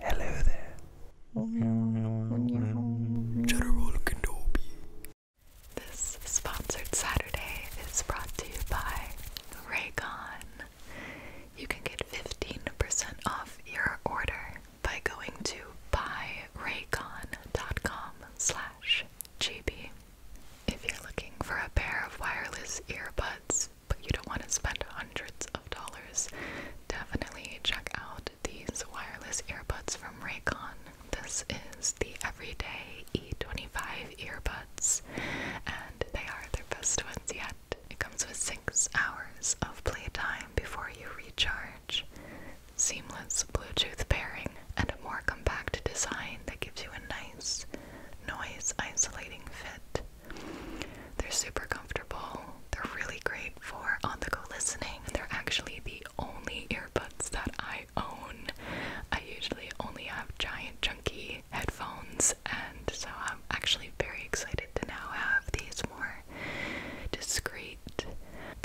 Hello there. General Kenobi. This sponsored Saturday is brought to you by Raycon. You can get 15% off your order by going to buyraycon.com slash GB. If you're looking for a pair of wireless earbuds but you don't want to spend hundreds of dollars, definitely check out these wireless earbuds from Raycon. This is the Everyday E25 earbuds, and they are their best ones yet. It comes with six hours of playtime before you recharge, seamless Bluetooth pairing, and a more compact design that gives you a nice, noise isolating fit. They're super comfortable. They're really great for on the go listening. They're actually the only earbuds that I own. I usually only have giant, chunky headphones, and so I'm actually very excited to now have these more discreet,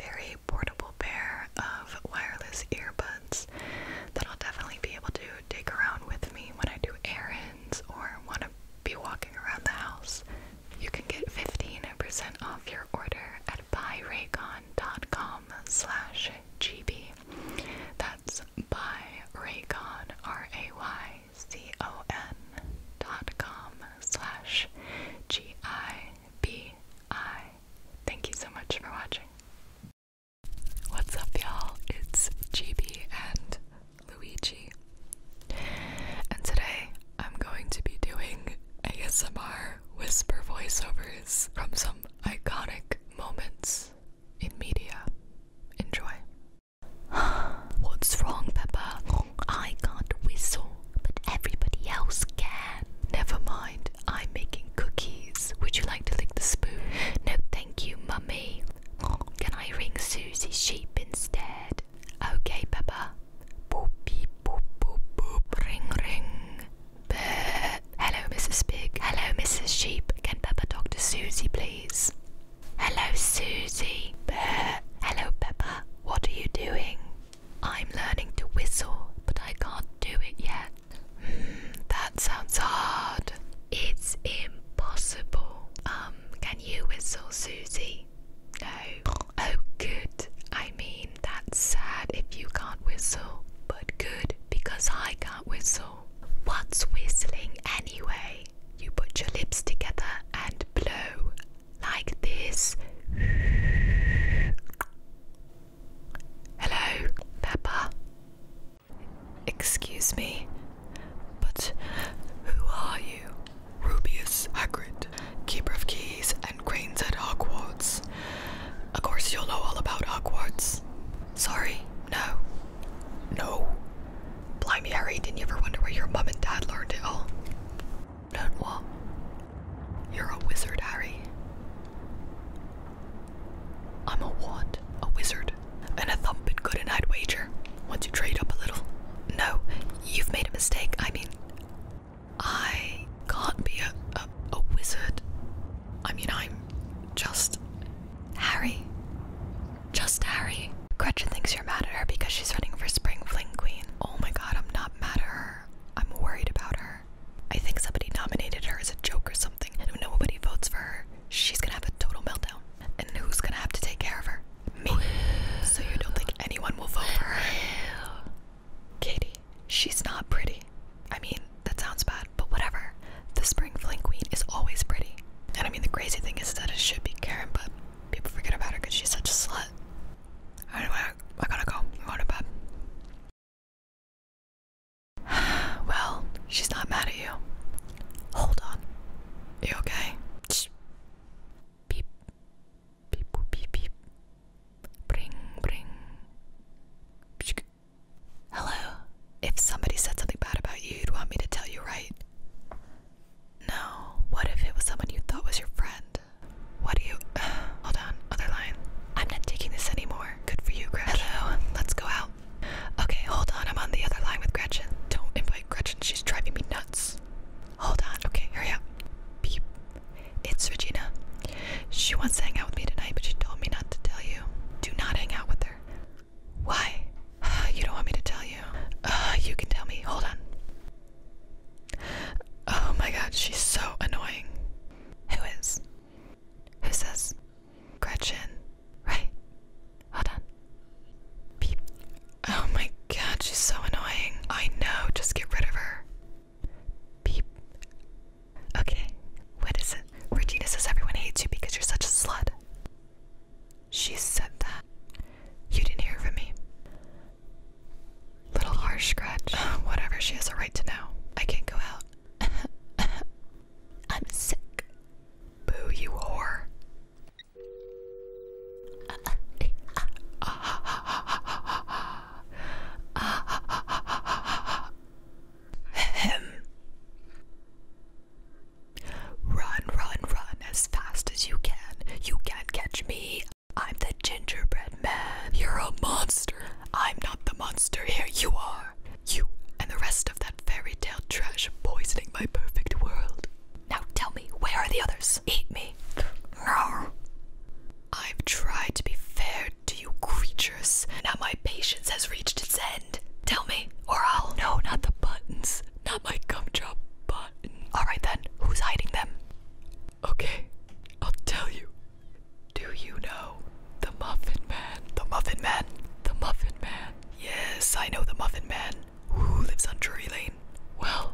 very portable pair of wireless earbuds that I'll definitely be able to take around with me when I do errands or want to be walking around the house. You can get 15% off your order at buyraycon.com slash gb. That's buyraycon, R-A-Y-C-O-N dot com slash G-I-B-I. Thank you so much for watching. What's up, y'all? It's GB and Luigi, and today I'm going to be doing ASMR whisper voiceovers from some iconic moments in media. Enjoy. What's wrong, Peppa? I can't whistle, but everybody else can. Never mind said, I'm making cookies. Would you like to lick the spoon? No, thank you, mummy. Can I ring Susie's sheep instead? Okay, Papa. Boop, beep, boop, boop, boop. Ring, ring. Bleh. Hello, Mrs. Pig. Hello, Mrs. Sheep. Can Peppa talk to Susie, please? Hello, Susie. Bleh. Hello, Peppa. What are you doing? I'm learning to whistle, but I can't do it yet. Hmm, that sounds hard. It's impossible. Um, can you whistle, Susie? No. Oh, good. I mean, that's sad if you can't whistle, but good because I can't whistle. What's whistling anyway? You put your lips together and blow, like this. Hello, Peppa. Excuse me, but who are you? Rubius Hagrid, Keeper of Keys and Cranes at Hogwarts. Of course, you'll know all about Hogwarts. Sorry, no. No. Blimey, Harry, didn't you ever wonder where your mum and dad learned it all? Don't what? You're a wizard, Harry. I'm a what? A wizard. And a thumpin' good and I'd wager. Once you trade up a little. No, you've made a mistake. I mean, I can't be a, a, a wizard. I mean, I'm just Harry. Just Harry. Gretchen thinks you're mad at her because she's running for Spring Fling Queen. Oh my god, I'm not mad her. I'm worried about her. I think somebody nominated her as a joke or something, and nobody votes for her, she's gonna have a total meltdown. And who's gonna have to take care of her? Me. So you don't think anyone will vote for her? Katie, she's not pretty. I mean, that sounds bad, but whatever. The spring fling queen is always pretty. And I mean, the crazy thing is that it should be Karen, but people forget about her because she's such a slut. I gotta go. I'm going to bed. Well, she's not mad at you. Hold on. You okay? Hello. If somebody said something bad about you, you'd want me to tell you, right? No. What if it was someone you thought was your friend? What do you. Hold on. Other line. I'm not taking this anymore. Good for you, Gretchen. Hello. Let's go out. Okay, hold on. I'm on the other line with Gretchen. Don't invite Gretchen. She's driving me nuts. Hold on. Okay, hurry up. Beep. It's Regina. She wants to hang out with me tonight, but she told me not to tell you. Do not hang out with her. Why? You don't want me to tell you. Uh, you can tell me. Hold on. Oh my god, she's so annoying. Who is? Who says? Gretchen. Right. Hold on. Beep. Oh my god, she's so annoying. I know, just get rid of her. Beep. Okay. What is it? Regina says everyone hates you because you're such a slut. She said that. You didn't hear from me. Little harsh scratch. Whatever, she has a right to know. I can't go out. I'm sick. Boo, you whore. Run, run, run as fast as you can. You can't catch me. I'm the gingerbread man. You're a monster. I'm not the monster here. You are. You and the rest of that fairy tale trash poisoning my perfect world. Now tell me, where are the others? Eat me. I've tried to be fair to you creatures. Now my patience has reached its end. Tell me, or I'll. No, not the buttons. Not my gum job button. Alright then, who's hiding them? Okay, I'll tell you. Do you know the Muffin Man? The Muffin Man? The Muffin Man. Yes, I know the Muffin Man. Who lives on Drury Lane? Well,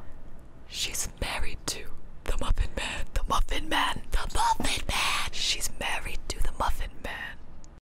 she's married to the Muffin Man. The Muffin Man. The Muffin Man. She's married to the Muffin Man.